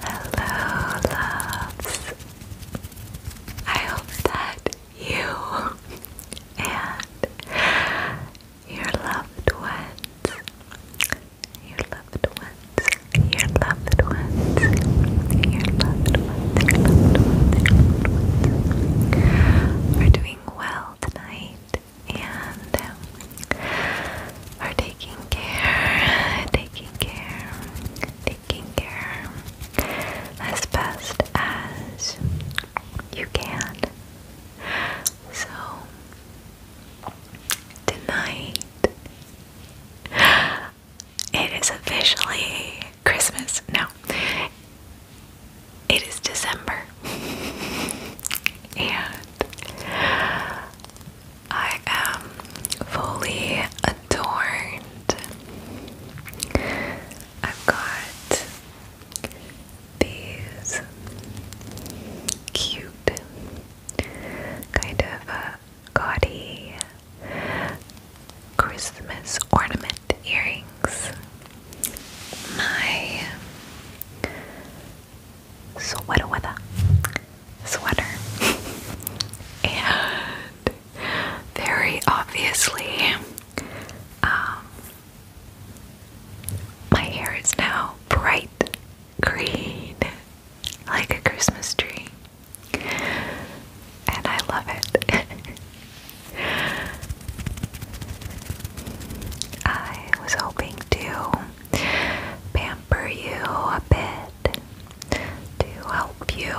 Hello, loves. I hope that you and your loved ones, your loved ones, your loved ones, your loved ones, your loved ones, your loved ones, are doing well tonight and for taking care, taking care, taking care as best as you can. So, tonight it is officially Christmas. No, it is December. and I am fully adorned. I've got these cute, kind of uh, gaudy Christmas ornament earrings. My so what a weather sweater. and very obviously, um, my hair is now bright green, like a Christmas tree. And I love it. I was hoping to pamper you a bit to help you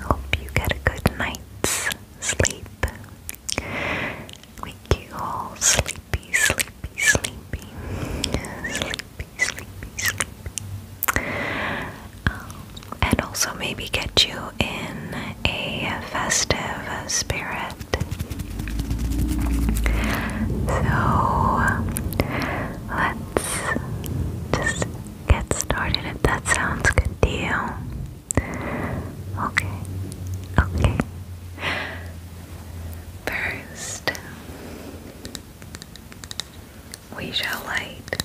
help you get a good night's sleep. Wake you all sleepy, sleepy, sleepy, sleepy, sleepy, sleepy. and also maybe get you in a festive spirit. So let's let's just get started if that sounds good to you. Okay, okay. First, we shall light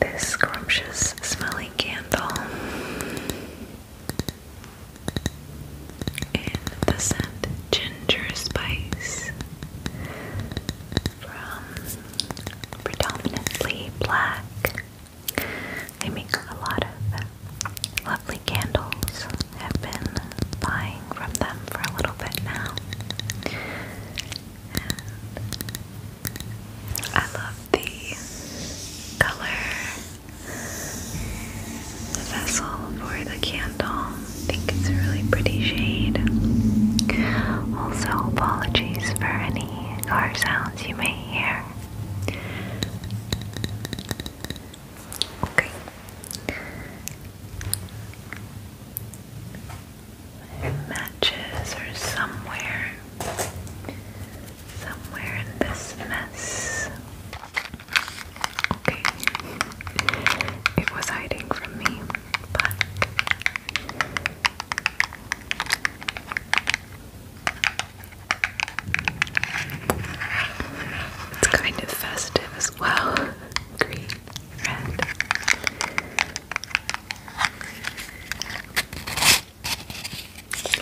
this scrumptious smelling candle in the scent Ginger Spice from Predominantly Black. They make a lot of lovely candles. I've been buying from them for a little bit now. I love the color the vessel for the candle. I think it's a really pretty shade. Also, apologies for any car sounds you may hear. Okay. matches are somewhere. Somewhere in this mess. Okay. It was hiding from me, but it's kind of festive as well. Green, red.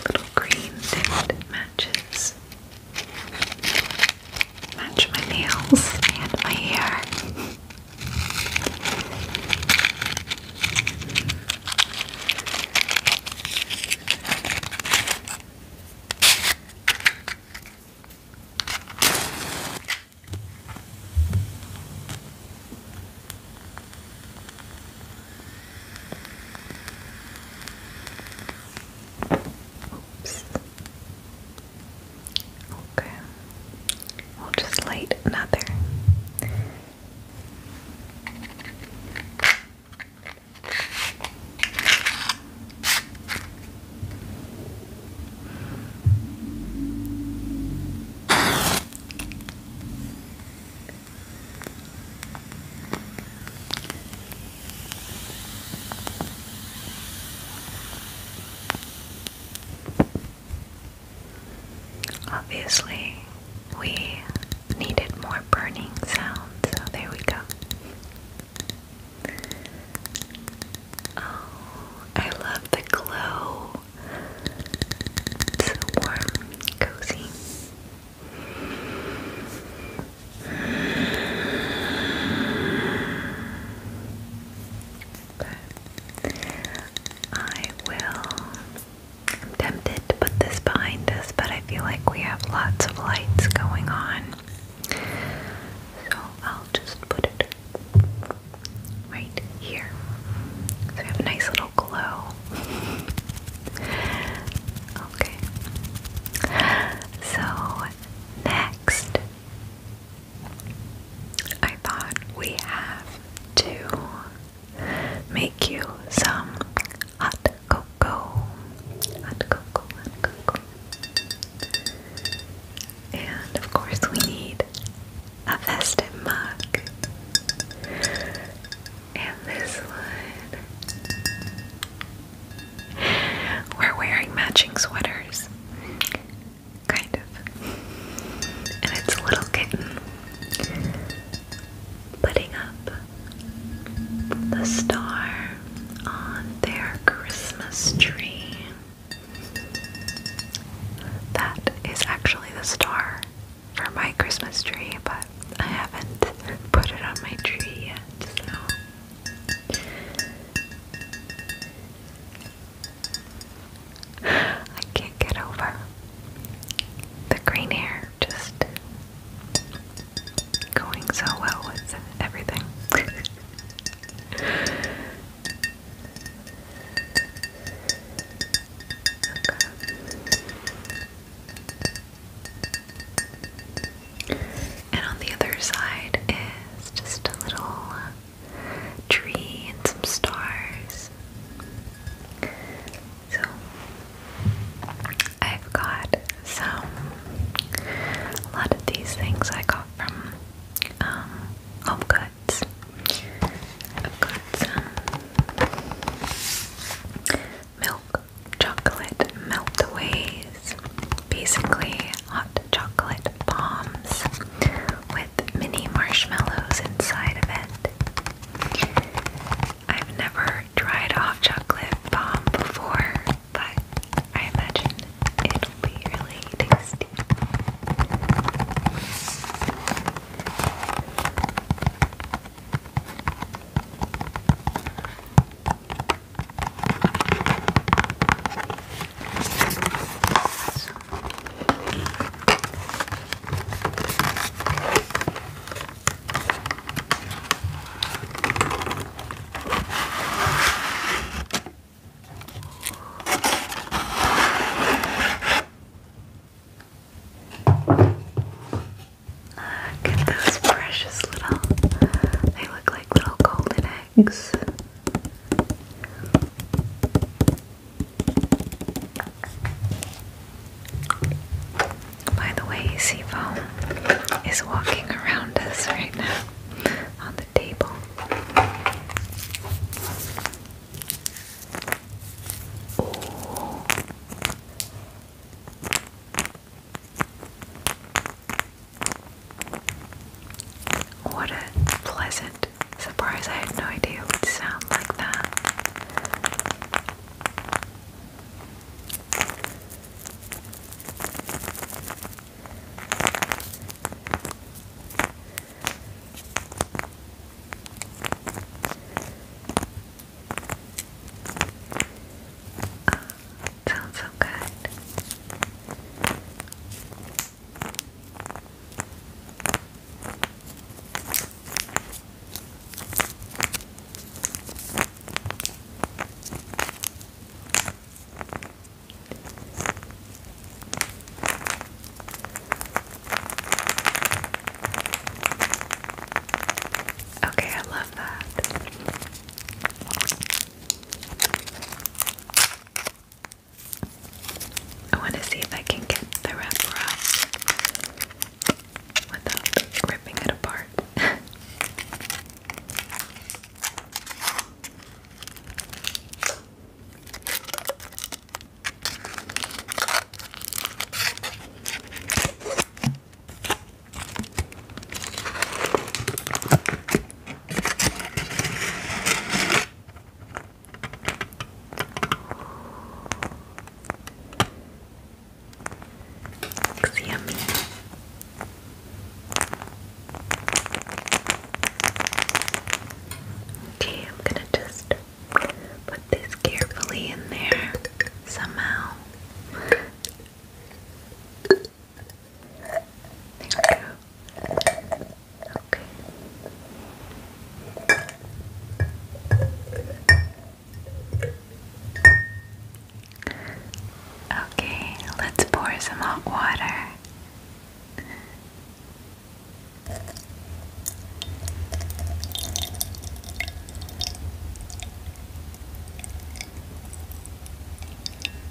Little green that matches match my nails and my hair. Okay. We'll just light another. Obviously, we needed more burning sound, so there we go. Oh, I love the glow. It's warm, cozy. I will. tempted to put this behind us, but I feel like we have lots of lights going on. So I'll just put it right here. So we have a nice little glow. okay. So next I thought we have to make you some hot cocoa. Hot cocoa, hot cocoa. And of course, we need a festive mug. And this one we're wearing matching sweaters. Kind of. And it's a little kitten putting up the star on their Christmas tree. That is actually the star for my Christmas tree, but I haven't put it on my tree yet, I can't get over the green hair just going so well with everything. And on the other side is just a little uh, tree and some stars. So I've got some a lot of these things I got from um, Home Goods. I've got some milk chocolate meltaways these basically hot chocolate bombs with mini marshmallows inside of it. I've never tried hot chocolate bomb before, but I imagine it'll be really tasty. Look at those precious little, they look like little golden eggs legs. By the way, Seafoam is walking around us right now on the table. What a pleasant surprise. I had no idea it would sound like that. Ah, sounds so good. Okay, I love that. I want to see if I can get the wrapper out without ripping it apart. Looks yummy. Okay, I'm gonna just put this carefully in there somehow. There Okay. Okay, let's pour some hot water.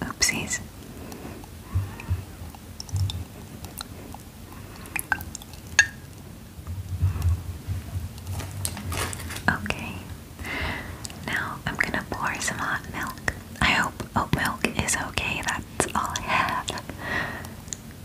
Oopsies. Okay, now I'm gonna pour some hot milk. I hope oat milk is okay, that's all I have.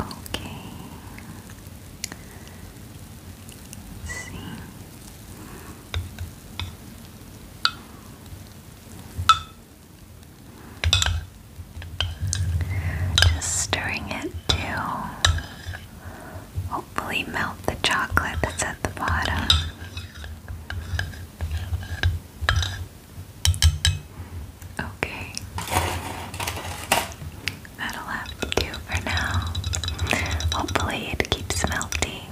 Okay. let Just stirring it to hopefully melt the chocolate that's at the bottom. Okay. That'll have to do for now. Hopefully, it keeps melting.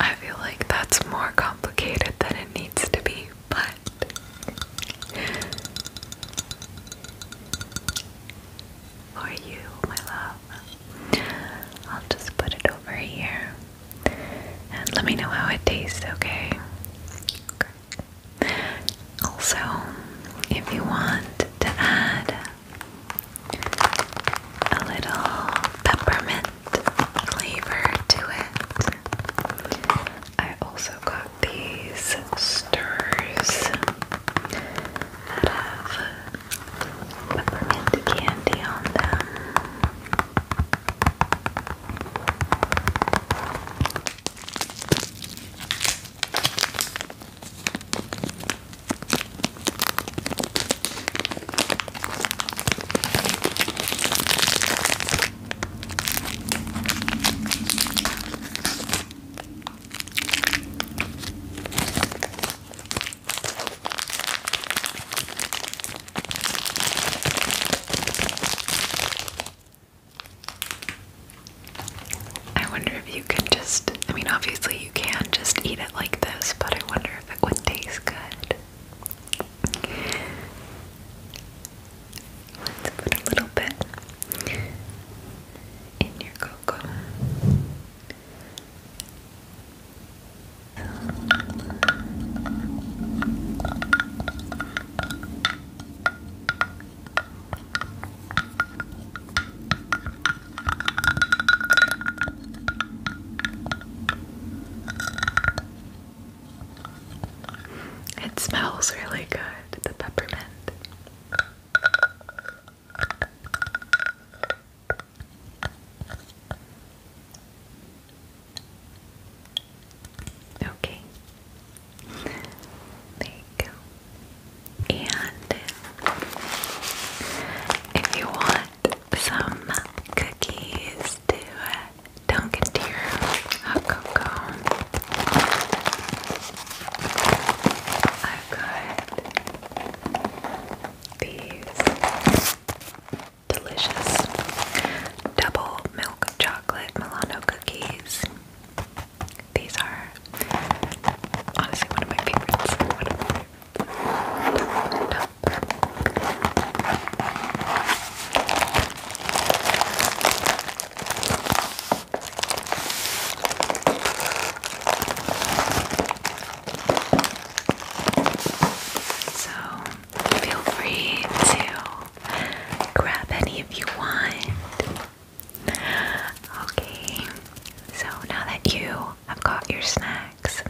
I feel like that's more complicated than it needs to be, but. For you, my love. I'll just put it over here and let me know how it tastes, okay? Also, if you want to add a little peppermint flavor to it, I also got these stirs peppermint candy on them. I wonder if you can just, I mean, obviously you can just eat it like this, but I wonder if it would taste good. Let's put a little bit in your cocoa. It smells really good, the peppermint. Okay. There you go. And if you want some cookies to dunk into your hot cocoa, I've got these delicious double milk chocolate Milano cookies. These are honestly one of my favorites. One so feel free to grab any if you want. Okay, so now that you have got your snacks,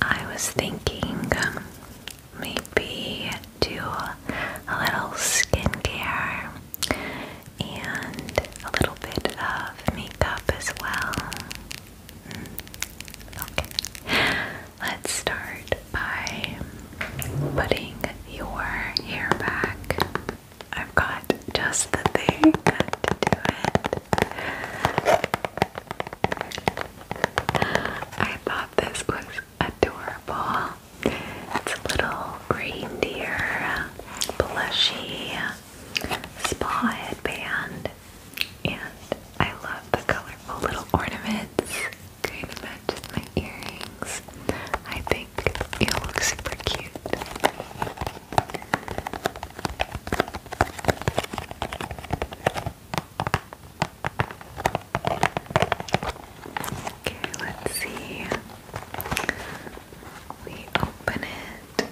I was thinking maybe do a little skincare and a little bit of makeup as well. Mm. Okay, let's start by putting your hair back. I've got just the thing to do it. I thought this was adorable. It's a little reindeer, blushy, spa headband, and I love the colorful little ornaments kind of match my earrings. I think it looks super cute. Okay, let's see. We open it where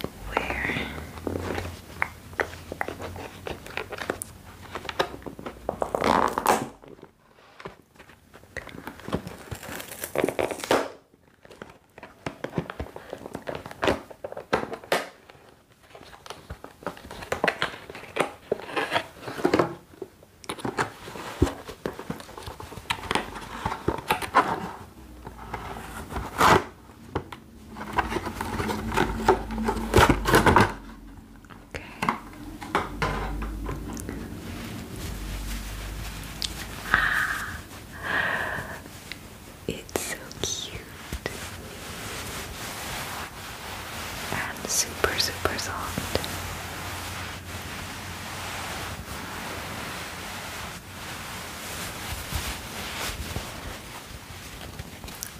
Okay. Ah, it's so cute and super, super soft.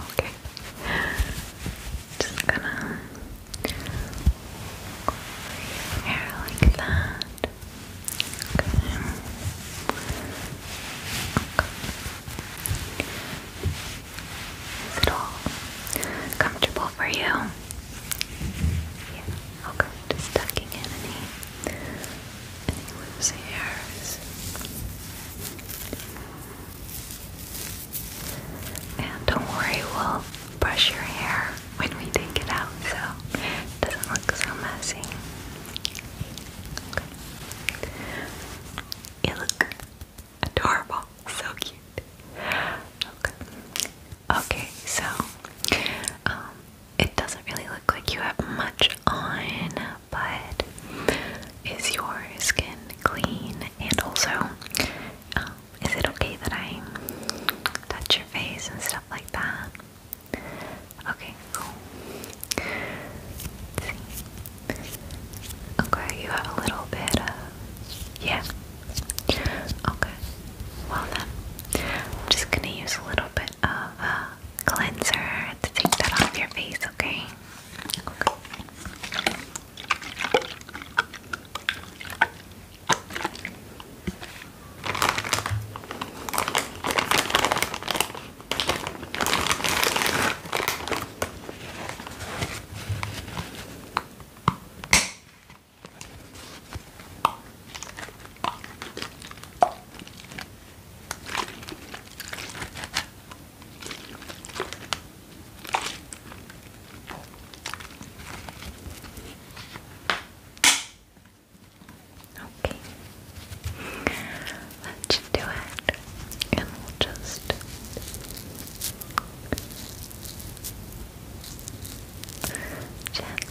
Okay. Just gonna hair like that. Okay. Is it all comfortable for you? Yeah. Okay. Just tucking in anyone's ears. And don't worry, we'll brush your hair when we take it out so it doesn't look so messy. Okay. You look adorable, so cute. Okay, okay so um, it doesn't really look like you have much on, but is your skin clean? And also, um, is it okay that I touch your face and stuff like that? Okay, cool. Okay, you have a little bit of. Yeah. Okay. Well, then, I'm just gonna use a little bit of a cleanser to take that off your face, okay? Okay. Let's do it. And we'll just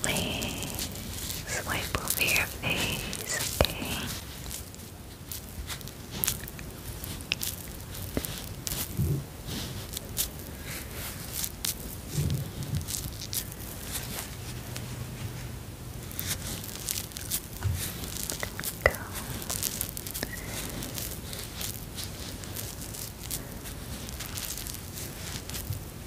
gently swipe over your your face, okay? Go.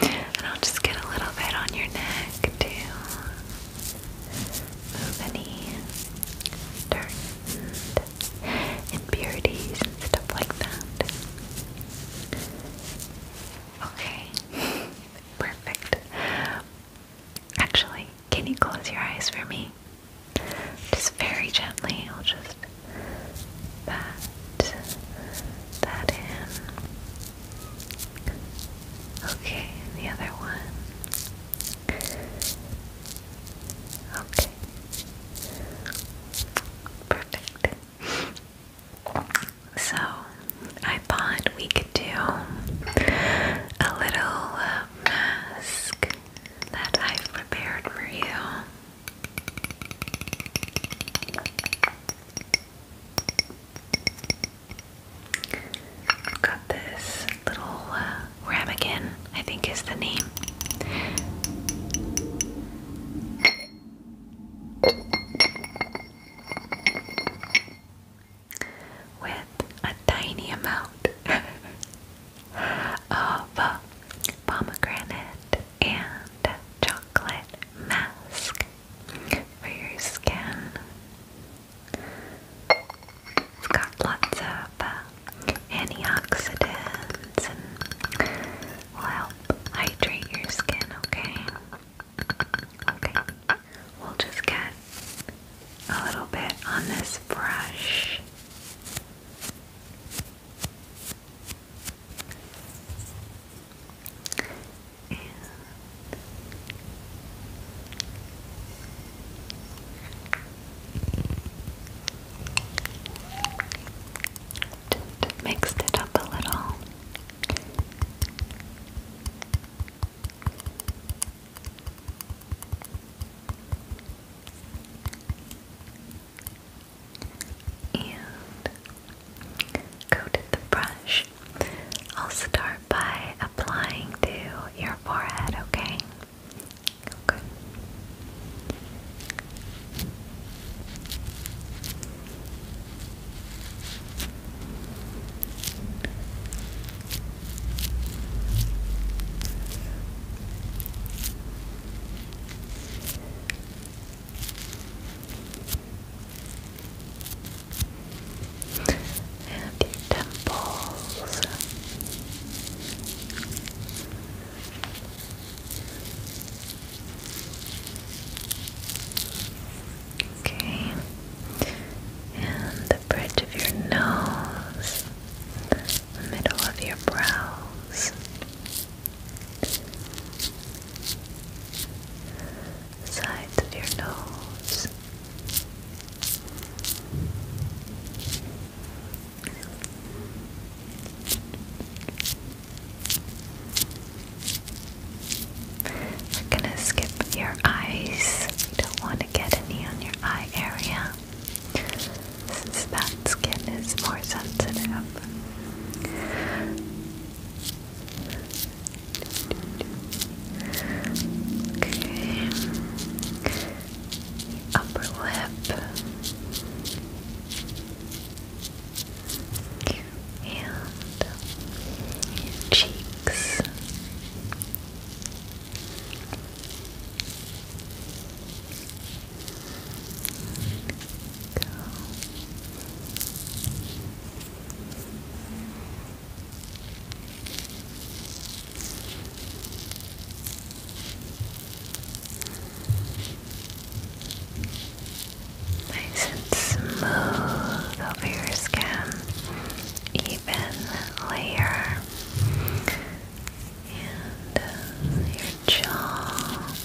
and I'll just get a little bit on your neck too. Move any dirt and impurities and stuff like that. Okay, perfect. Actually, can you close your eyes for me? Just very gently, I'll just pat that in. Okay, and the other one. Okay. Perfect. So, I thought we could do a little uh, mask that I've prepared for you i got this little uh, I think is the name. With a tiny amount of uh, pomegranate and chocolate mask for your skin. It's got lots of uh, antioxidants and will help hydrate your skin, okay? Okay, we'll just get a little bit on this brush. And just mixed it up a little. And coated the brush. I'll start by applying to your forehead, Okay. Okay and your temples. Okay, and the bridge of your nose, the middle of your brows the sides of your nose. We're gonna skip your eyes. You don't want to get any on your eye area since that skin is more sensitive. Okay. Upper lip. And cheeks. Nice and smooth over your skin, even layer, and uh, your jaw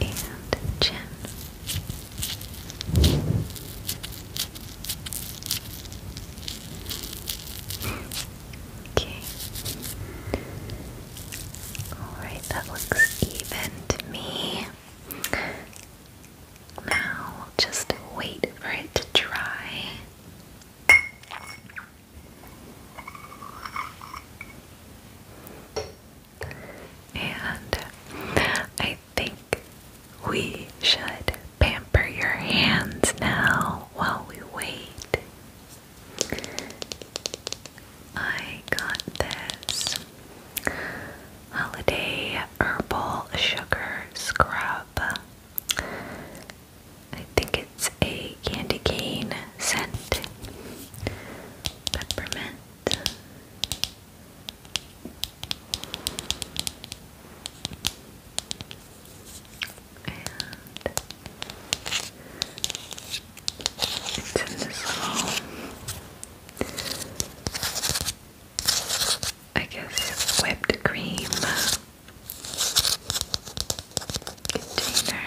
and chin. Okay. Alright, that looks even to me. Now, just wait for it to dry. And I think we should pamper your hands now while we wait. I got this holiday herbal sugar scrub. I think it's a candy cane scent, peppermint. it's in this little, I guess, whipped cream container.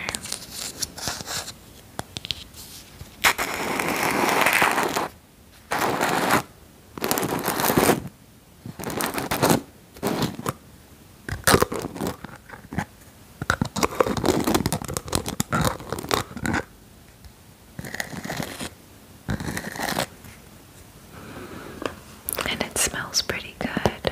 And it smells pretty good.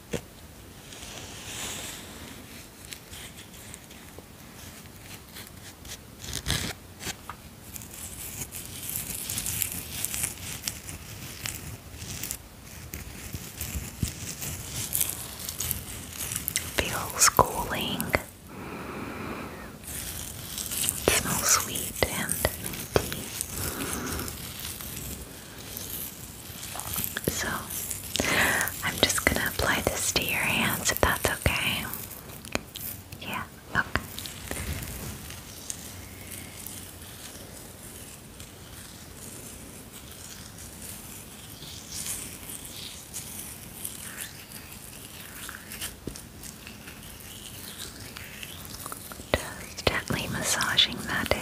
Feels cooling. smells sweet and minty. So, I'm just gonna apply this to your hands if that's okay. Yeah, okay. Just gently massaging that in.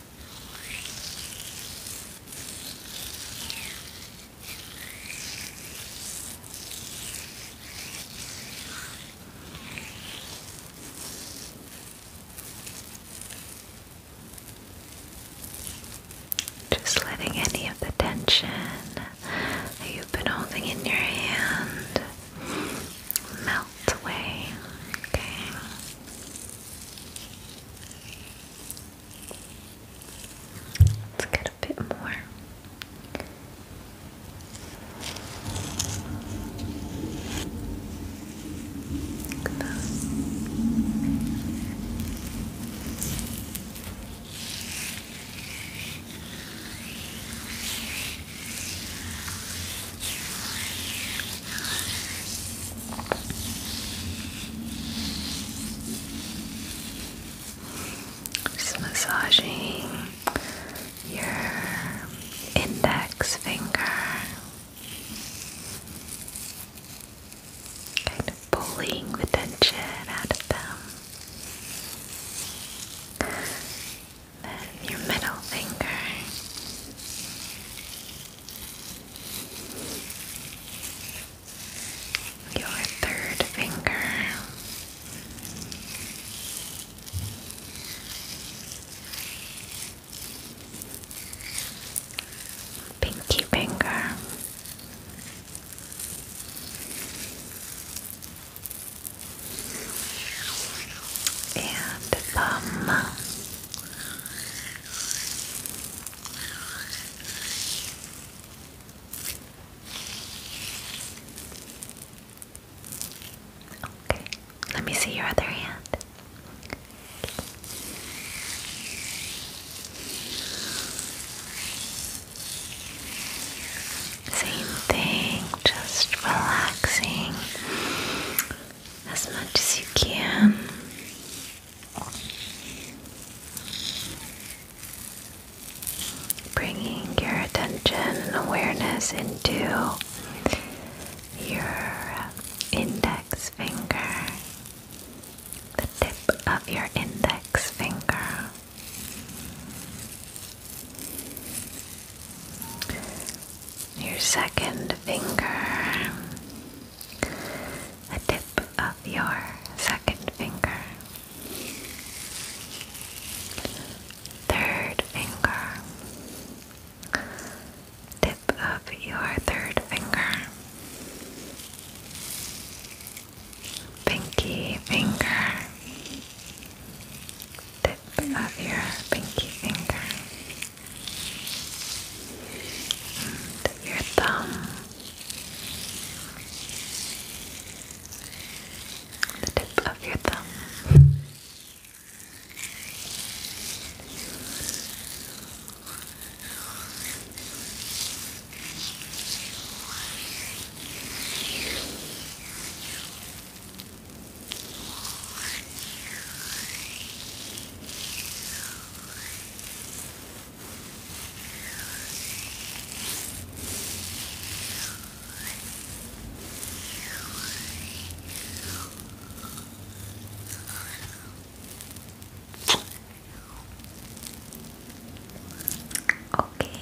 Just letting any of the tension that you've been holding in your hand melt away. Okay. Let's get a bit more. Look just massaging your index finger, kind of pulling the tension out of them. Then your middle finger your third finger. Pinky finger, and thumb. Okay, let me see your other hand. Same thing, just relaxing as much as you can. Bringing your attention and awareness into your index finger, the tip of your index finger. Your second finger, the tip of your second finger, third finger, tip of your third finger, pinky finger, tip of your pinky finger and your thumb, the tip of your thumb. Okay.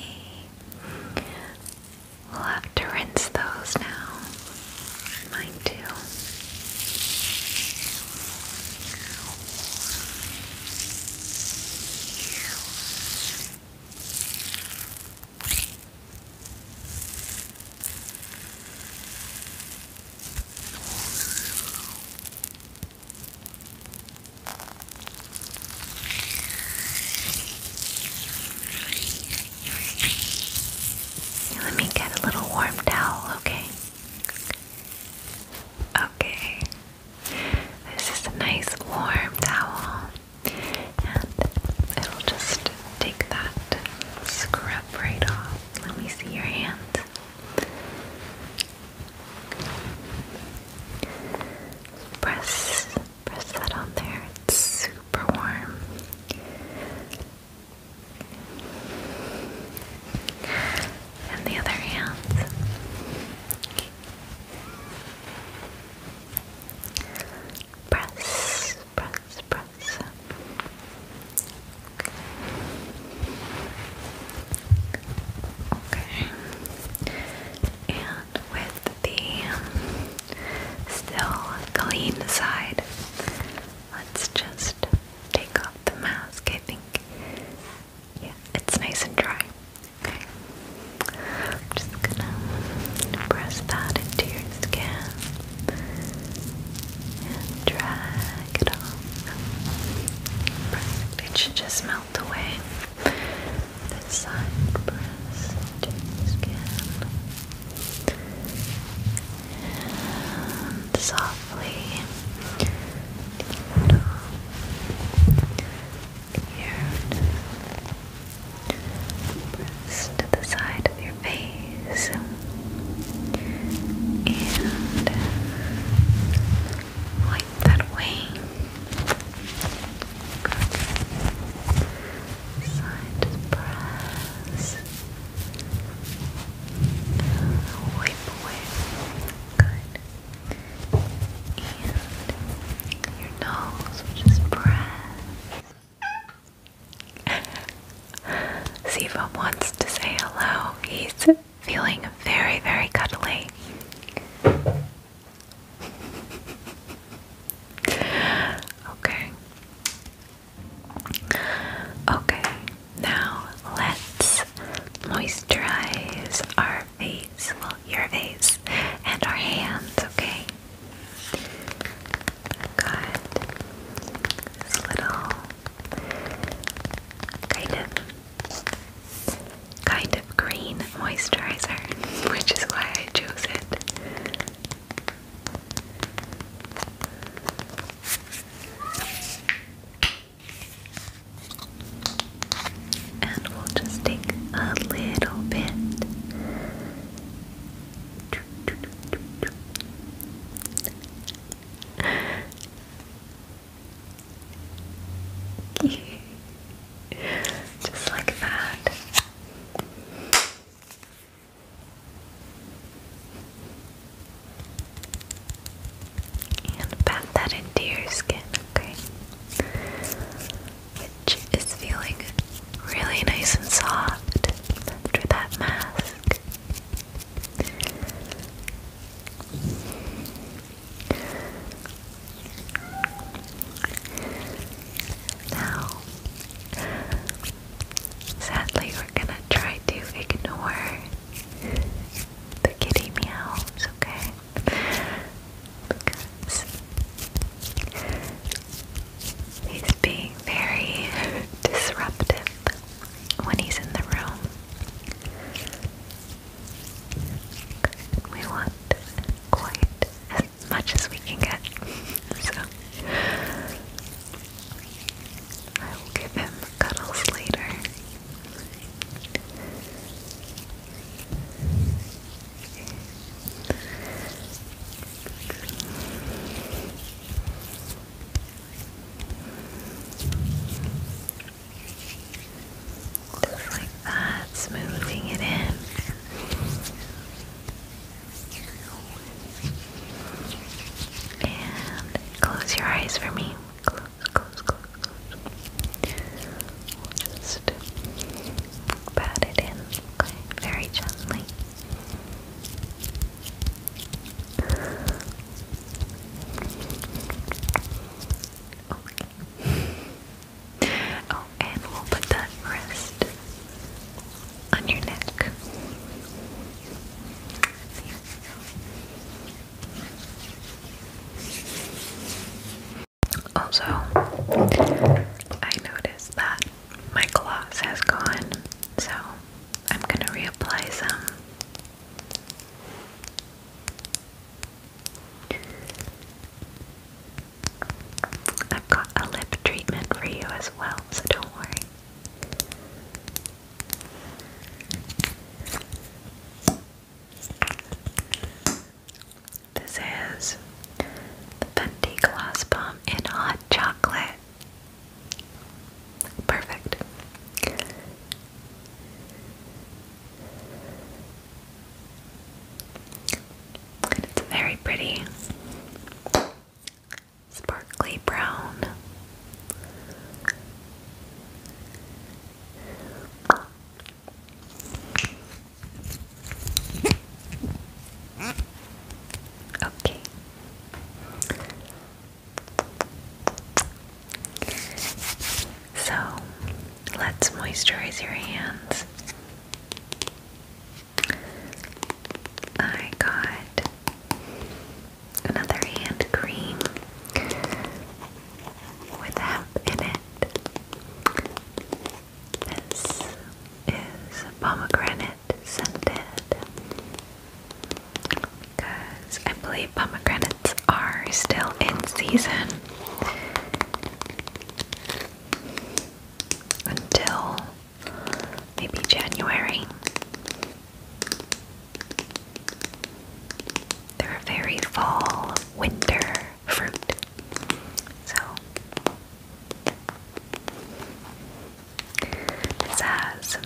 We'll have to rinse those now. Mine too. Let me get a little warm towel, okay? Okay, this is a nice warm towel, and it'll just take that scrub right off. Let me see your hand. Press, press that on there. It's super warm and the other hand. Press, press, press. Okay. And with the still clean side, let's just take off the mask, I think. Yeah, it's nice and dry. Okay. I'm just gonna press that into your skin and drag it off. It should just melt away. This side press into your skin and softly here press to the side of your face and wipe that way side press wipe away. Good. And your nose, which is Siva wants to say hello. He's feeling very, very cuddly. Okay. Okay. Now let's moisturize our face, well, your face, and our hands, okay? got this little kind of kind of green moisturizer, which is why I chose it. And we'll just take a little bit. Just like that. And pat that into your skin, okay? Which is feeling really nice and soft after that mask. Now, sadly, we're gonna try to ignore the kitty meows, okay? Because he's being very disruptive when he's in the room. We want quite as much as we can get. so I will give him cuddles later. Just like that, smoothing it in. And close your eyes for me close, close, close, We'll just pat it in, okay? Very gently. Oh, and we'll put that wrist on your neck. Also, I noticed that my gloss has gone, so I'm going to reapply some. I've got a lip treatment for you as well, so don't worry. This is the Fenty Gloss Bomb in Hot Chocolate. Perfect. it's very pretty. Sparkly brown. Okay. So let's moisturize your hands. I got another hand cream with hemp in it. This is pomegranate scented because I believe pomegranates are still in season until maybe January. They're very fall winter fruit. So it says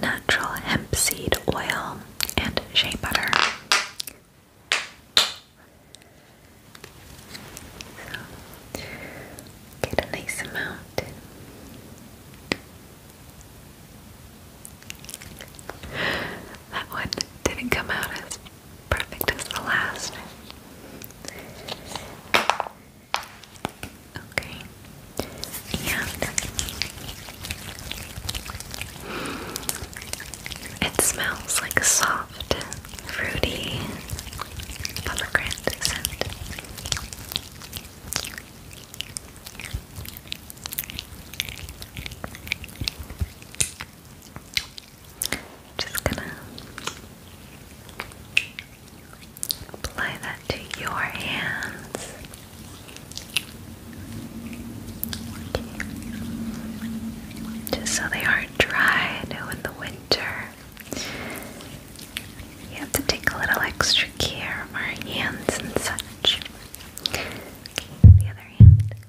natural hemp seed oil and shea butter. get a nice amount. That one didn't come out as perfect as the last. Okay. And it smells like a soft, fruity pomegranate scent. Just gonna apply that to your hands. Okay. Just so they aren't dry. I know in the winter you have to take a little extra care of our hands and such. Okay, the other hand. Okay,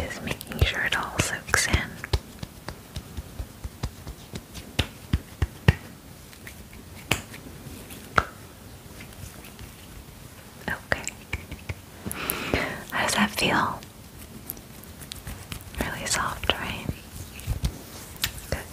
just making sure it all soaks in. Okay. How does that feel? Really soft, right? Good.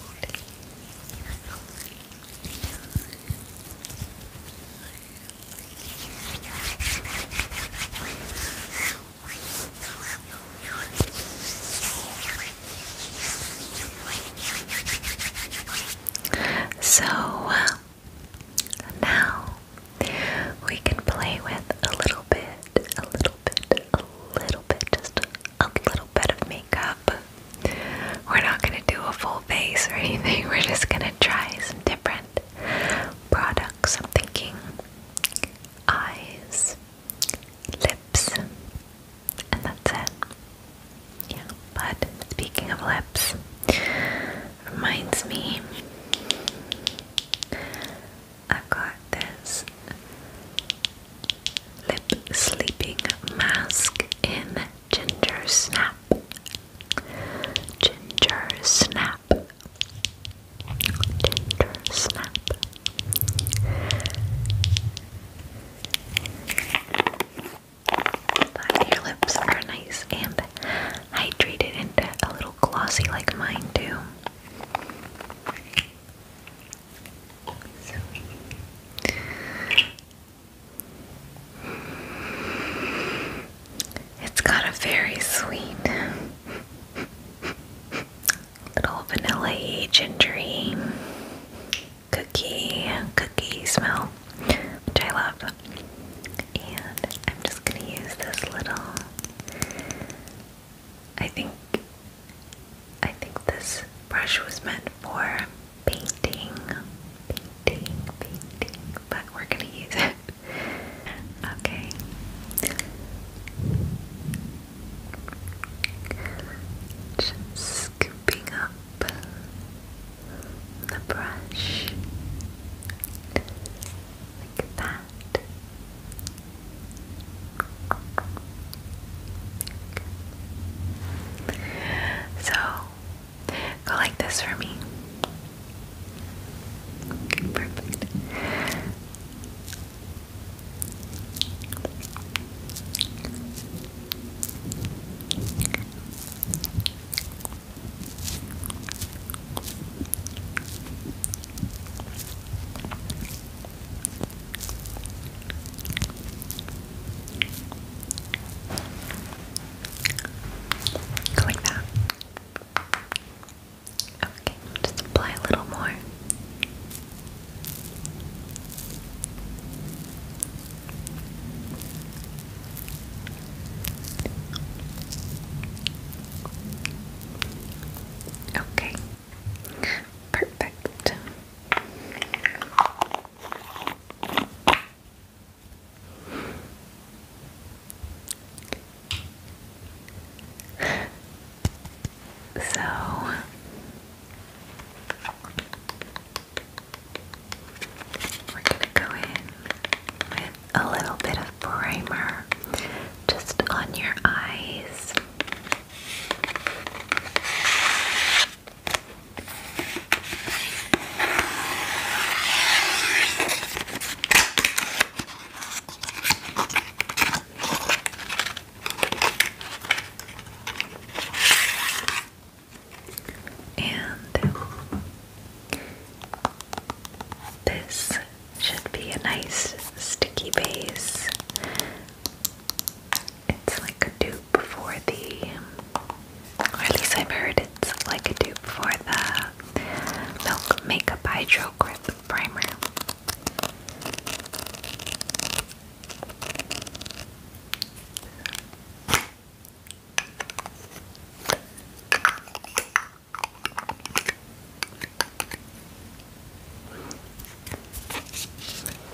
So uh, now we can play with a little bit, a little a little bit, just a little bit of makeup. We're not going to do a full face or anything, we're just going to try some different products. I'm thinking eyes, lips, and that's it. Yeah, but speaking of lips, reminds me I've got this Lip Sleeping Mask in Ginger Snap. Ginger Snap. Ginger Snap. your lips are nice and hydrated and a little glossy like mine do. It's got a very sweet little vanilla-y, gingery cookie, cookie smell, which I love. And I'm just gonna use this little I think I think this brush was meant for painting, painting, painting, but we're gonna use it. okay. scooping up the brush like that. So, go like this for me. Okay, perfect. Go like that. Okay, just apply a little more. Okay, perfect. So we're gonna go in with a little bit of primer just on your eyes. And this should be a nice sticky base it's like a dupe for the, or at least I've heard it's like a dupe for the Milk Makeup Hydro Grip Primer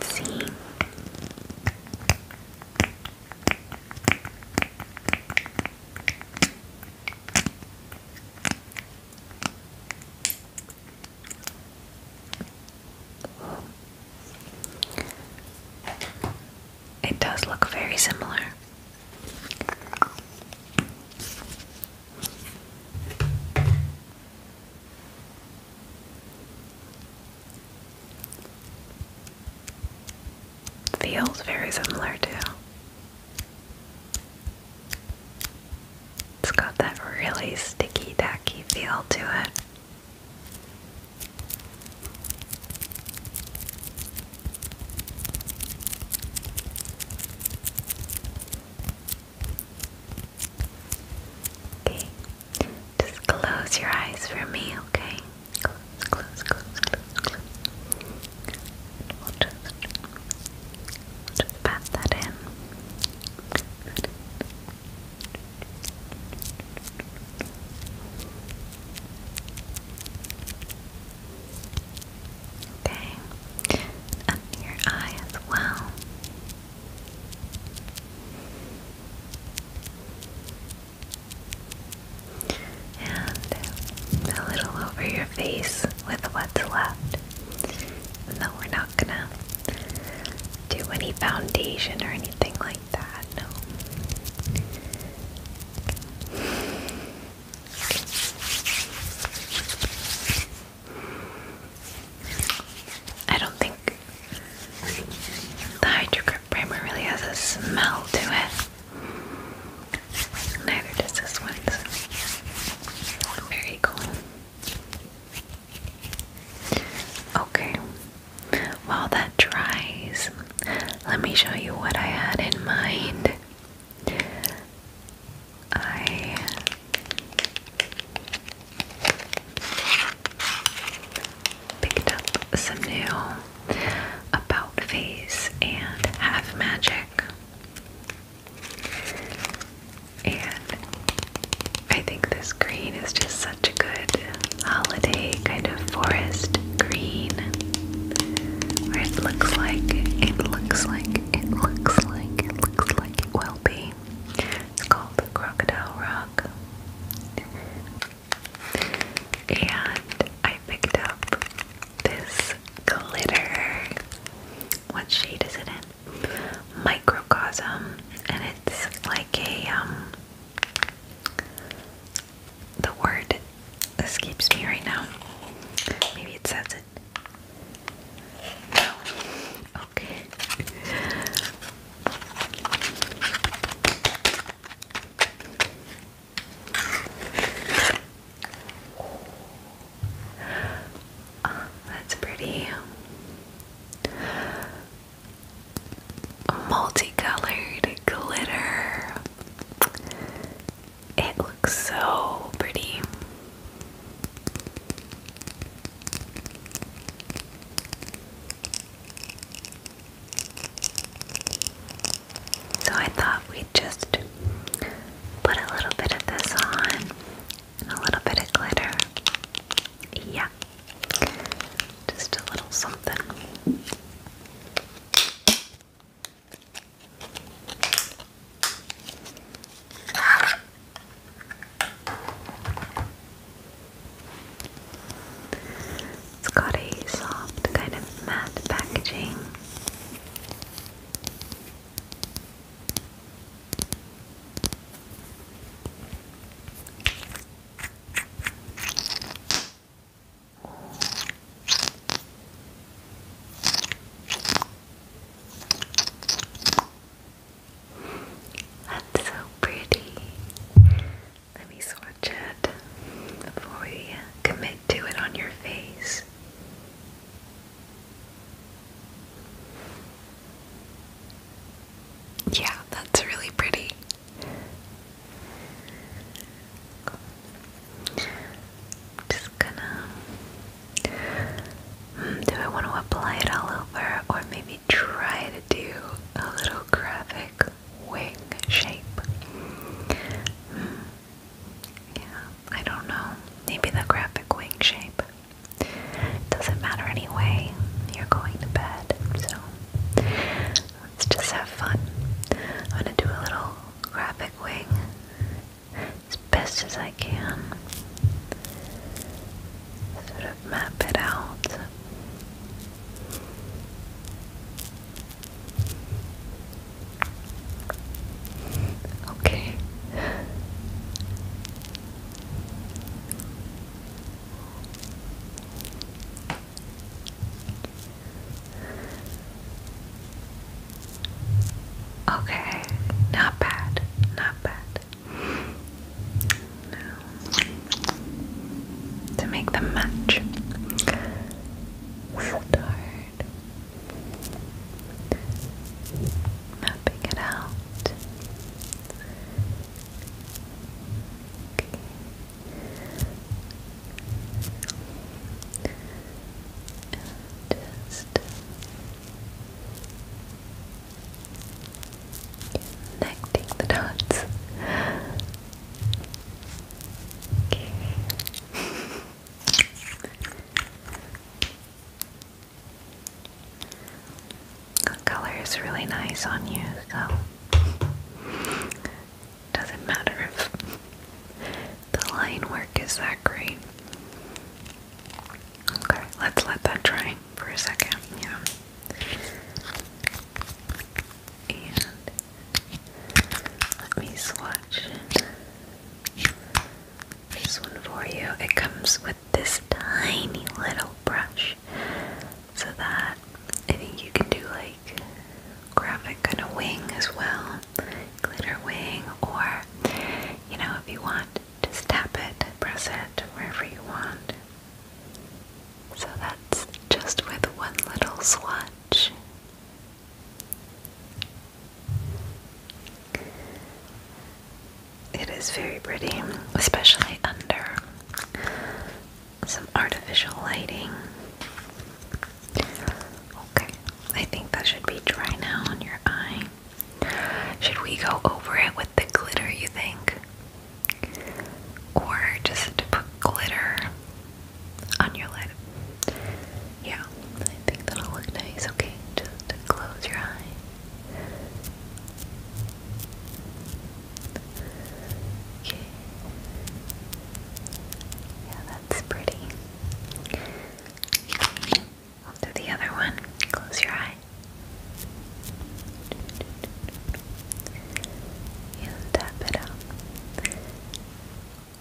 see. It does look very similar. Feels very similar too. It's got that really sticky, tacky feel to it. Okay, just close your eyes for me, okay? Close, close, close, close, close. just, pat that in. Okay, under your eye as well and a little over your face with what's left. no, we're not gonna do any foundation or anything like that, no. I don't think the Hydro Grip primer really has a smell to it. Neither does this one. Very cool. Okay, while that dries, let me show you what I had in mind. I Picked up some new About Face and Half Magic. And I think this green is just such a good holiday kind of forest green. Where it looks like, it looks like, it looks like, it looks like it will be it's called the Crocodile Rock. And I picked up this glitter. What shade is it in? Microcosm. And it's like a, um, the word escapes me right now. Maybe it says it. Okay. Oh, that's pretty. Multicolored glitter. It looks so pretty. So I thought we'd just put a little bit of this on and a little bit of glitter. Yeah. Just a little something. It's got a soft, kind of matte packaging. That's so pretty. Let me swatch it before we commit to it on your face. Yeah, that's really pretty. Just gonna. Hmm, do I want to apply it all over or maybe try to do a little graphic wing shape. Hmm. I don't know. Maybe the graphic wing shape. Doesn't matter anyway. You're going to bed, so let's just have fun. I'm gonna do a little graphic wing as best as I can sort of map it out. Okay. Okay, not bad, not bad to make them match, start mapping it out. Okay connecting the dots. The color is really nice on you, so doesn't matter if the line work is that great. Okay, let's let that dry for a second. Yeah. And let me swatch this one for you. It comes with this tiny little brush so that I think you can do like graphic kind of wing as well, glitter wing, or you know, if you want, just tap it, press it wherever you want. So that's just with one little swatch. It is very pretty, especially under some artificial lighting. Okay, I think that should be dry now on your eye. Should we go over it with the glitter, you think? or just put glitter on your lid. Yeah, I think that'll look nice. Okay, just close your eye. Okay. Yeah, that's pretty. I'll do the other one. Close your eye. You tap it out.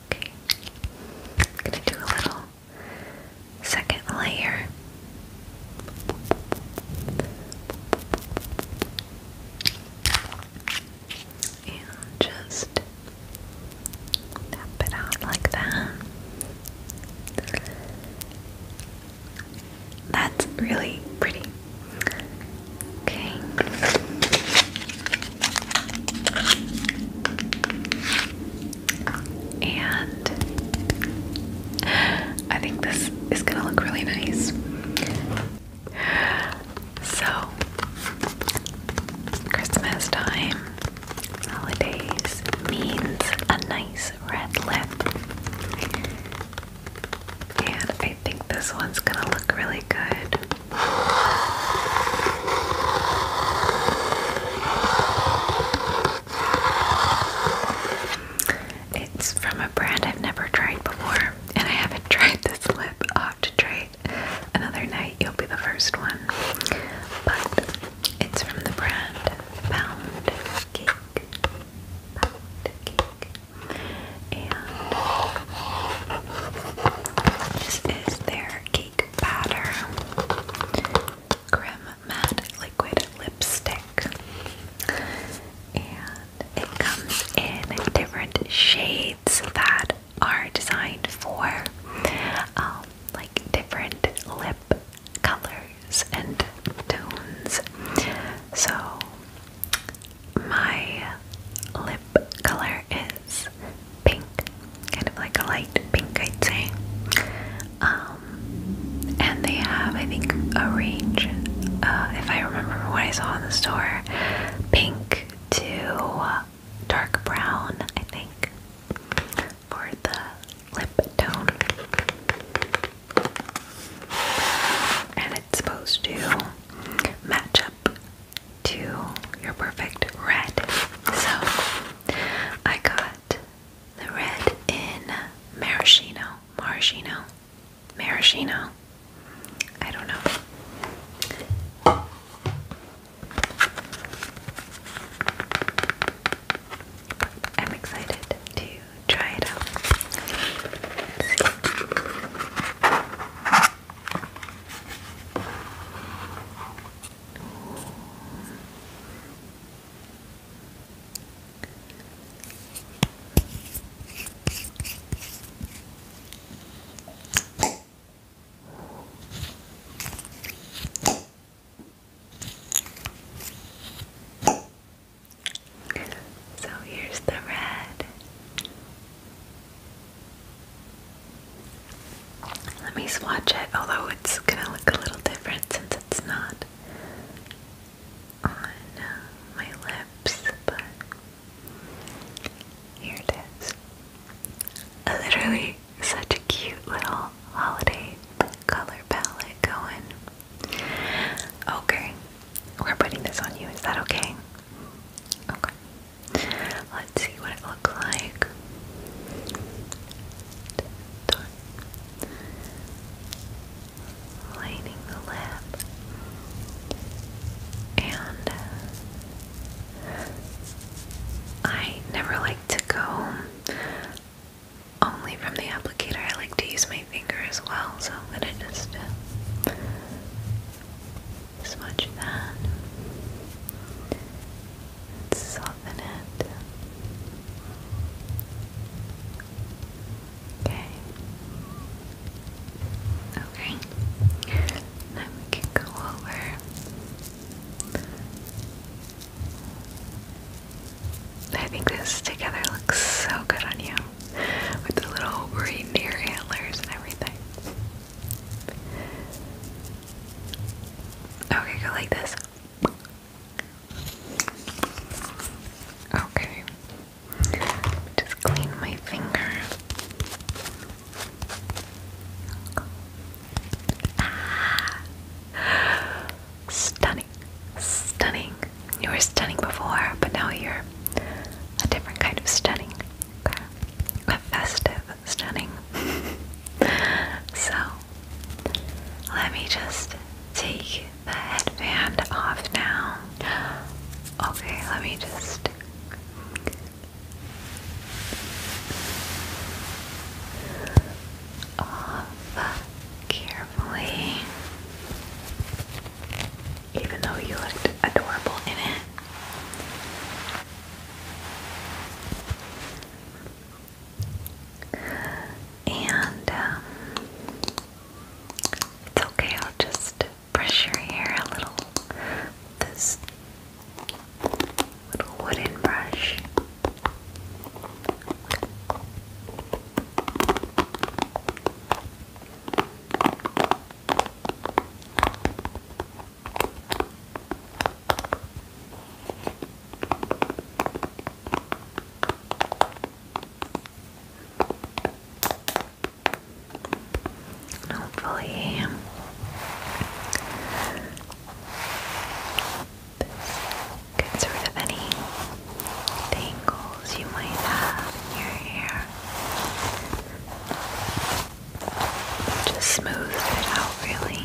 Okay. gonna do a little second layer. And just tap it out like that. That's really pretty. Okay. And I think this is gonna look really nice. So, Christmas time, holidays means a nice red lip. And I think this one's gonna look really good. It's from a brand I've never tried before, and I haven't tried this lip. i to try it another night. You'll be the first one. But it's from the brand Pound Cake. Pound Cake. And this is their cake batter. Grim Matte Liquid Lipstick. And it comes in different shades that are designed for um, like different lip colors and tones. So my lip color is pink, kind of like a light pink, I'd say. Um, and they have, I think, a range, uh, if I remember what I saw in the store, pink to dark brown, I think, for the lip tone it's supposed to match up to your perfect red. So I got the red in maraschino, maraschino, maraschino. I don't know. I'm excited to try it out. So here's the red. Let me swatch it, although it's gonna look a little different since it's not on uh, my lips, but here it is. Literally such a cute little holiday color palette going. Okay, we're putting this on you. Is that okay? Okay. Let's see what it looks like. Lighting the lip. And uh, I never like to go only from the applicator. I like to use my finger as well, so I'm gonna just uh, smudge that soften it. Okay. Okay. Now we can go over I think this together looks so good on you with the little reindeer antlers and everything. Okay, go like this. Okay. Just clean my finger. Ah. Stunning. Stunning. You were stunning before, but now you're a different kind of stunning. A festive stunning. so, let me just take the headband off now. Okay, let me just. Off carefully even though you looked adorable in it. And um, it's okay, I'll just brush your hair a little with this little wooden brush. Hopefully, this rid of any tangles you might have in your hair. Just smooth it out, really.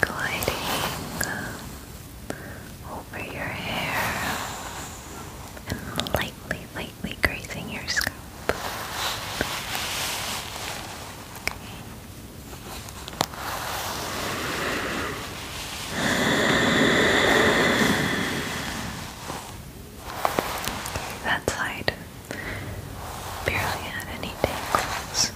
gliding uh, over your hair lightly, lightly grazing your scalp. Okay. Okay, that side barely had any tangles.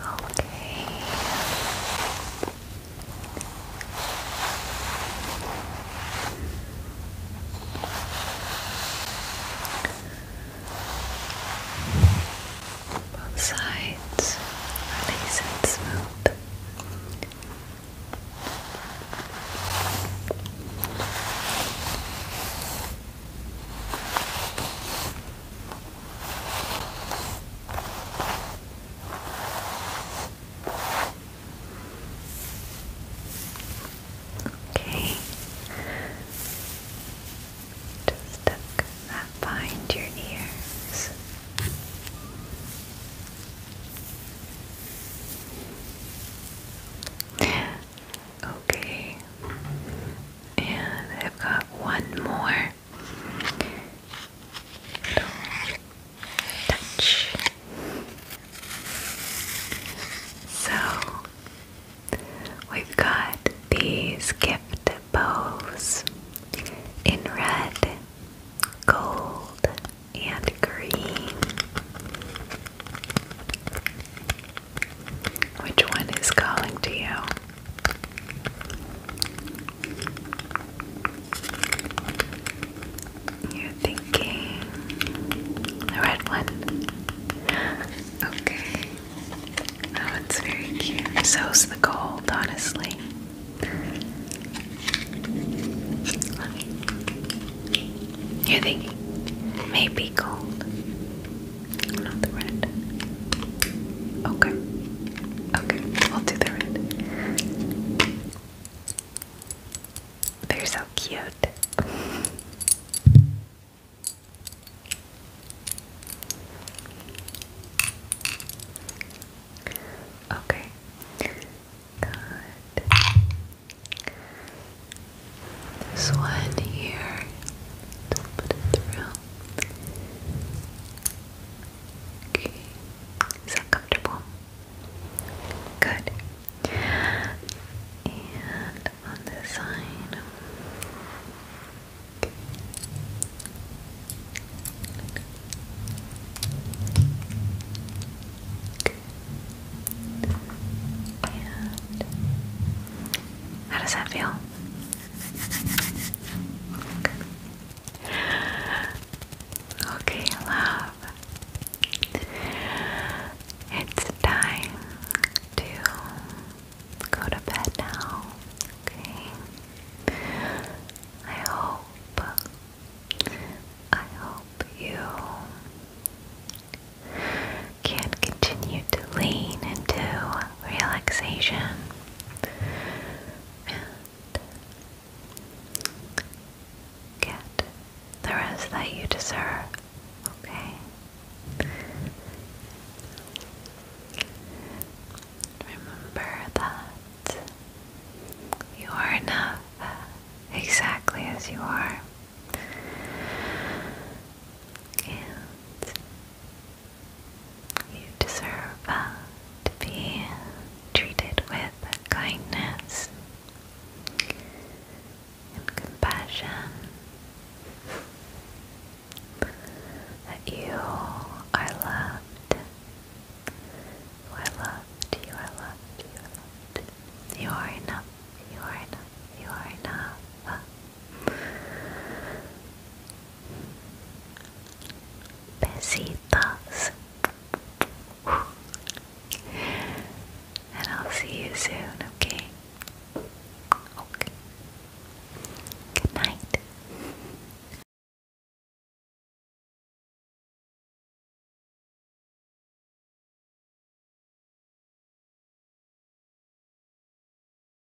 Okay. Both sides are and smooth. Okay. Just behind your ears. Okay and I've got one more touch. So we've got these gift bows in red, gold, and green. Which one is calling to you? You're thinking the red one. Okay. Oh, it's very cute. So's the gold, honestly. You're maybe gold. Not the red. Okay. Okay, we'll do the red. They're so cute. Okay. Good. This one here is that comfortable? Good. And on this side, okay. And how does that feel? Okay, love. It's time to go to bed now. Okay. I hope I hope you can continue to lean into relaxation and get the rest that you deserve, okay? Remember that you are enough exactly as you are. And you deserve uh, to be treated with kindness and compassion. That you are loved. You are loved. You are loved. You are loved. You are enough. You are enough. You are enough. Besitos. And I'll see you soon, okay? Okay. Good night.